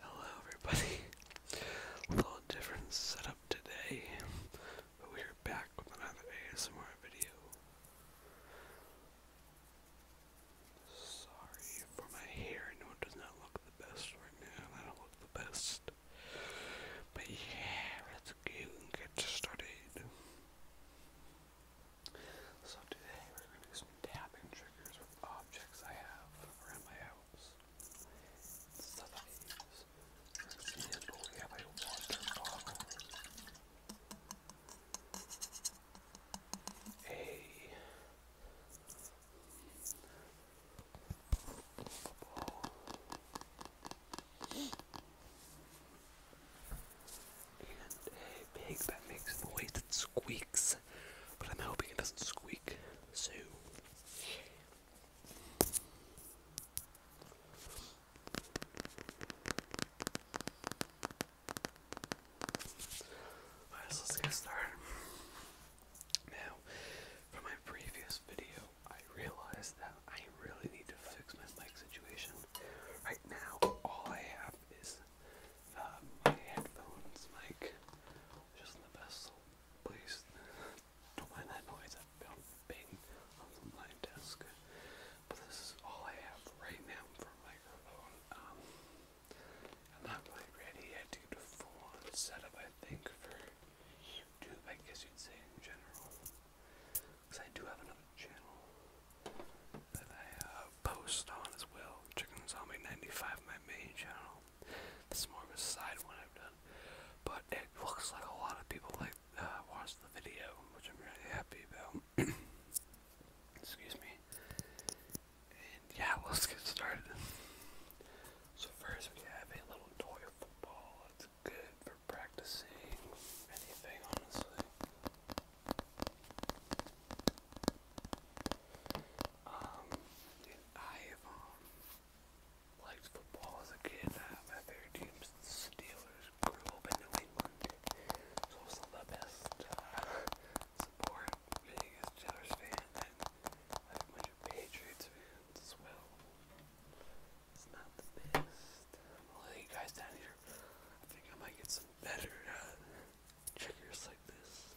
Hello everybody. Little different setup today, but we are back with another ASMR video. Sorry for my hair, I know it does not look the best right now, I don't look the best. But yeah, let's go and get started. So today we're gonna tapping triggers with objects I have around my house. Stuff I use. we have a water bottle, a football, and a pig that makes noise squeaks, but I'm hoping it doesn't squeak. So. Alright, let's get started. Now, from my previous video, I realized that I really need to fix my mic situation. Right now, all I have is uh, my headphones mic, which is the best place. Don't mind that noise, I've been on my desk. But this is all I have right now for microphone. Um, I'm not quite ready yet do a full setup, I think, for YouTube, I guess you'd say in general. Because I do have another channel that I uh, post on as well. Chicken Zombie 95, my main channel. This more of a side one I've done. But it looks like a lot of people like uh, the video, which I'm really happy about. Excuse me. And yeah, let's get started. So first we have a little toy football. It's good for practicing anything, honestly. Um, I've um, liked football as a kid. my favorite teams, Steelers, New England, so it's the best uh, support being Steelers fan, and I have a bunch of Patriots fans as well. It's not the best. i you guys down here. I think I might get some better uh, like this.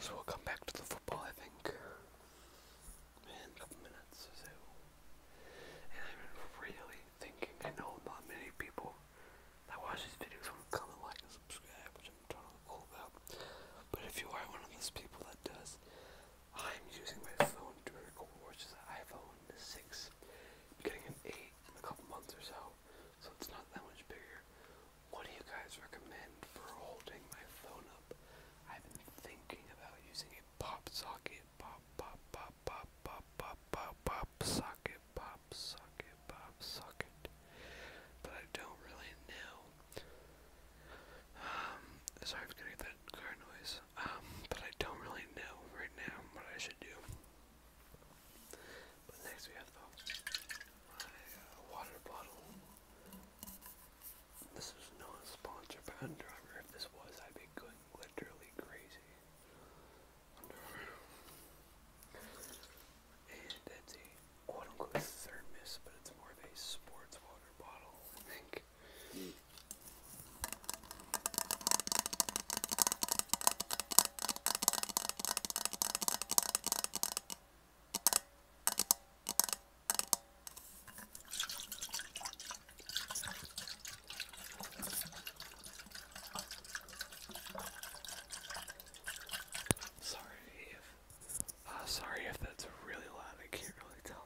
So we'll come back to the football, I think, in a couple minutes or so. And I'm really thinking, I know not many people that watch these videos will come and like and subscribe, I'm totally cool about. But if you are one of those people that does, I'm using my phone to record, which is an iPhone 6. I'm getting an 8 in a couple months or so, so it's not that much bigger. What do you guys recommend for holding my phone up? I've been thinking about using a pop socket, pop, pop, pop, pop, pop, pop, pop, pop, socket, pop, socket, pop, socket. But I don't really know um, sorry if that car noise. Um, but I don't really know right now what I should do. But next we have my uh, water bottle. This is not sponsored by Under Armour. If this was, I'd be going literally crazy and that's a quote unquote thermos, but it's more of a sports water bottle, I think. Sorry uh, sorry if that's really loud, I can't really tell.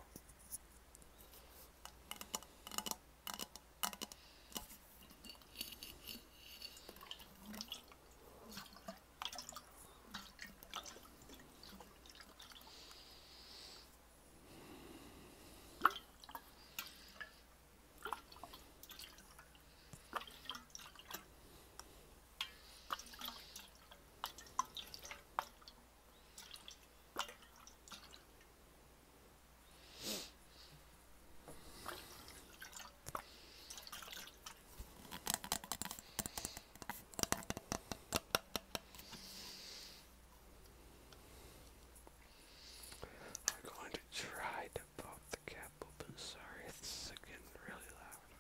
I'm going to try to pop the cap open. Sorry, this is really loud.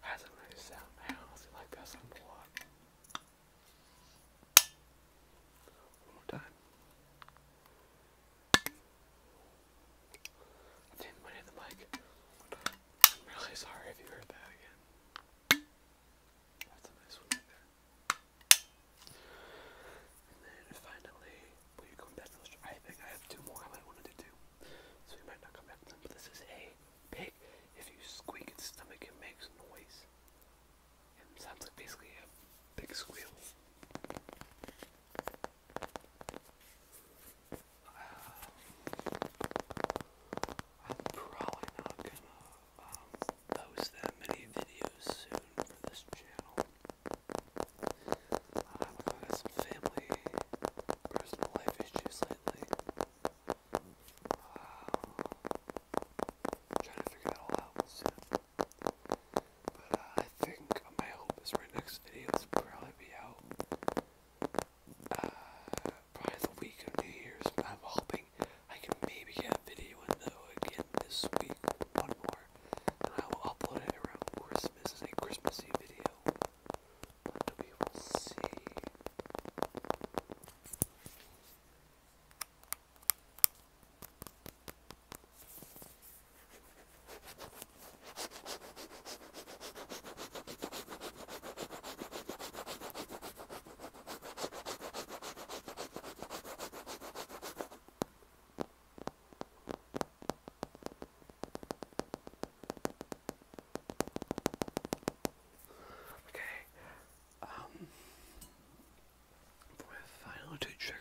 Has a nice sound. I like that sound a lot. One more time. I didn't win the mic. I'm really sorry if you heard that again. That's a nice one there. And then finally, will you come back to I think I have two more I wanted to do. So we might not come back to them, but this is a pig. If you squeak its stomach, it makes noise. It sounds like basically a big squeal. Um, I'm probably not gonna um, post that many videos soon for this channel. I've got some family, personal life issues lately. trying to figure that all out But I think my hope is my next video is probably be out. Uh, probably the week of New Year's. I'm hoping I can maybe get a video in though again this week. One more. I will upload it around Christmas as a Christmassy video. But we will see. Okay, um, for my final two triggers,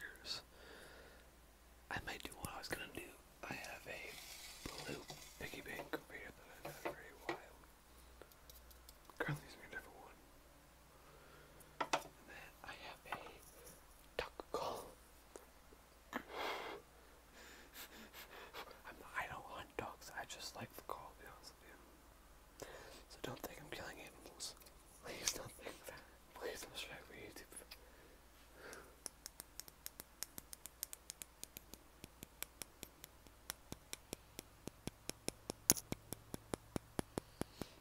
I might do what I was gonna do. I have a blue piggy bank over here that I've had for a while. Currently using a different one then I have a duck call. I'm, I do not hunt dogs, I just like the call, to be honest with you. So don't think I'm killing animals. Please don't think that. Please don't strike me, YouTube.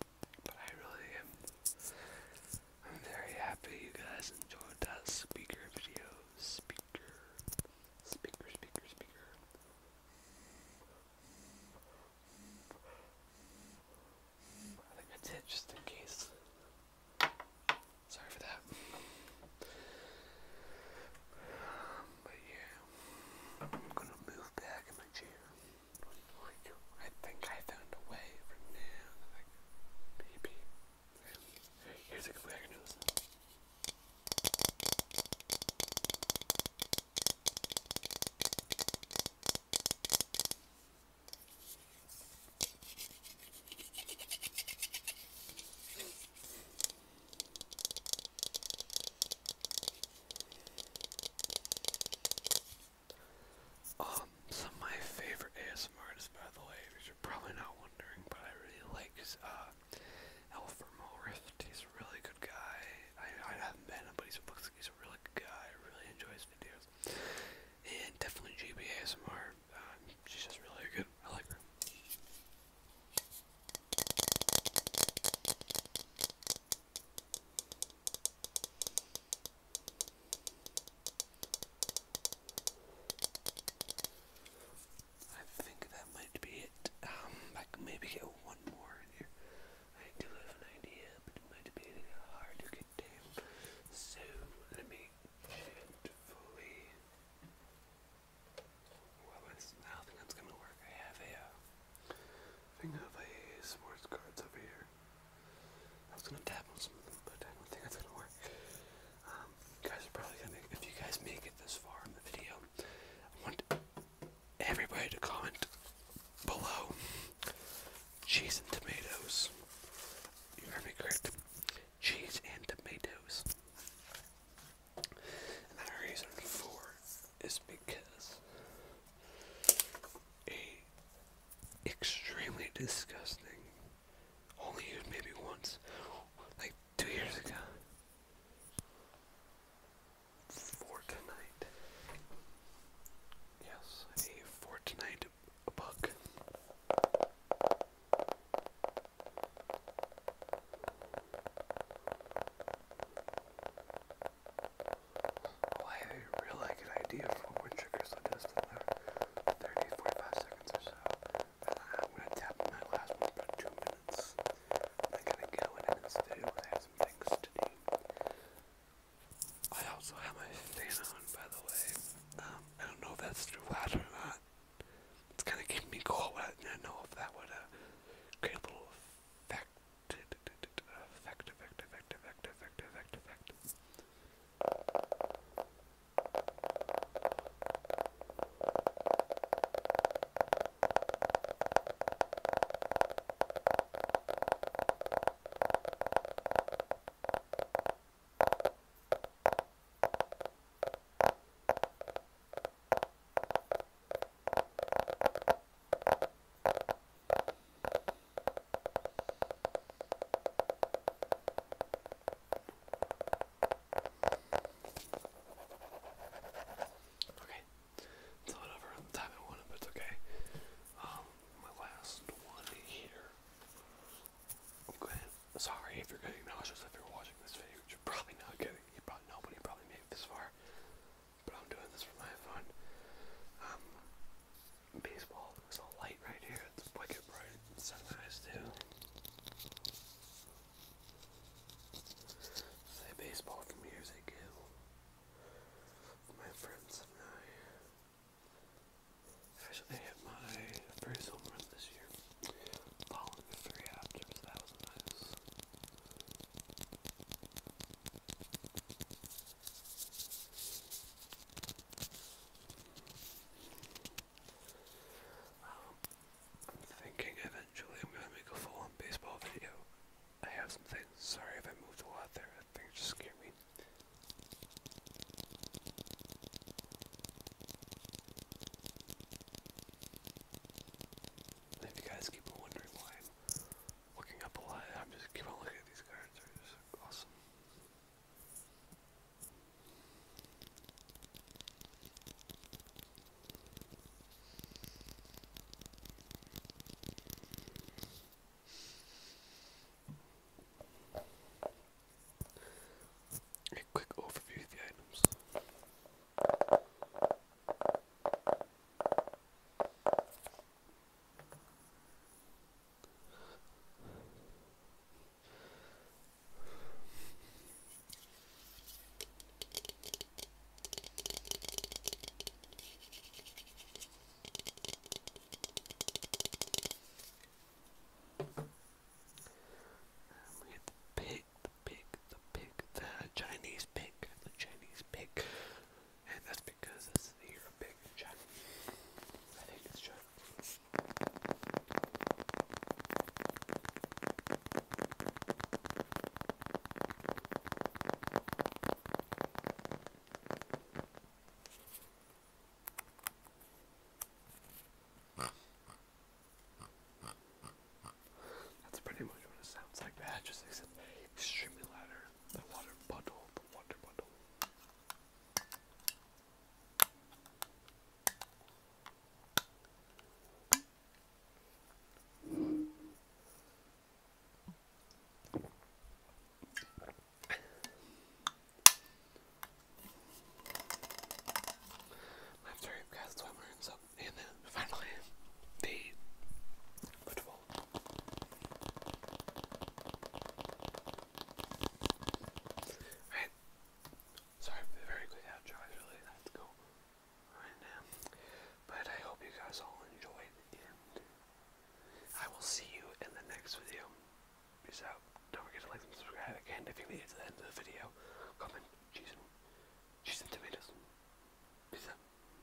But I really am I'm very happy you guys enjoyed that speaker video. Speaker speaker speaker speaker. I think that's it just in case. Sorry for that. but yeah, I'm gonna move back in my chair. I think I found a way from now. maybe. Here's a good I can do this. Um, some of my favorite ASMR artists, by the way, which you're probably not wondering, but I really like is, uh, Alfred Rift. He's a really good guy. I, I haven't met him, but he looks like he's a really good guy. I really enjoy his videos. And definitely GBA ASMR. Um, she's just really good. I like her. I think that might be it. Um, I can maybe get one more in here. I do have an idea, but it might be hard to get So let me gently. Well, it's, I think that's gonna work. I have a uh, thing of a sports cards over here. I was gonna tap but I don't think that's gonna work. Um, guys are probably gonna, if you guys make it this far in the video, I want everybody to comment below cheese and tomatoes. You heard me correct. Cheese and tomatoes. And the reason for is because extremely disgusting. Only used maybe once, like two years ago. For tonight. Yes, for tonight book. Well, I had like an idea for what triggers the dust in about seconds or so. I'm gonna tap on last one for two minutes. I'm to go in and this some things to I also have my fan on, by the way. Um, I don't know if that's too loud or not. It's kind of keeping me cold. I didn't know if that would uh, create little effect Vector, vector, vector, vector, vector, vector, vector. Okay, it's not over the time I wanted, but it's okay. Um, my last one here. I'm glad. Sorry if you're getting nauseous if you're watching this video, you're probably not getting. You probably nobody probably made it this far but I'm doing this for my fun. Um, baseball. There's a light right here. It's wicked bright. Sunrise too. Say baseball from years ago. My friends and I. Actually, hit my first home run this year. Following three after, that was nice. Thinking eventually I'm gonna make a full on baseball video. I have some things. Sorry if I moved a lot there. That thing just scare me. If you guys keep wondering why looking up a lot. I'm just keep on looking at these cards. They're just awesome. A quick overview of the items the pig, the pig, the pig, the Chinese pig, the Chinese pig and that's because this is here a I think it's just. That's pretty much what it sounds like. That just except extremely louder. The water bottle, the water bottle. After I've got swimmers up, and then finally the Beautiful. Sorry very quick outro. really had to right now. But I hope you guys all enjoyed I will see you in the next video. Peace out. Don't forget to like and subscribe again if you made it to the end of the video. Comment cheese cheese tomatoes. Peace out.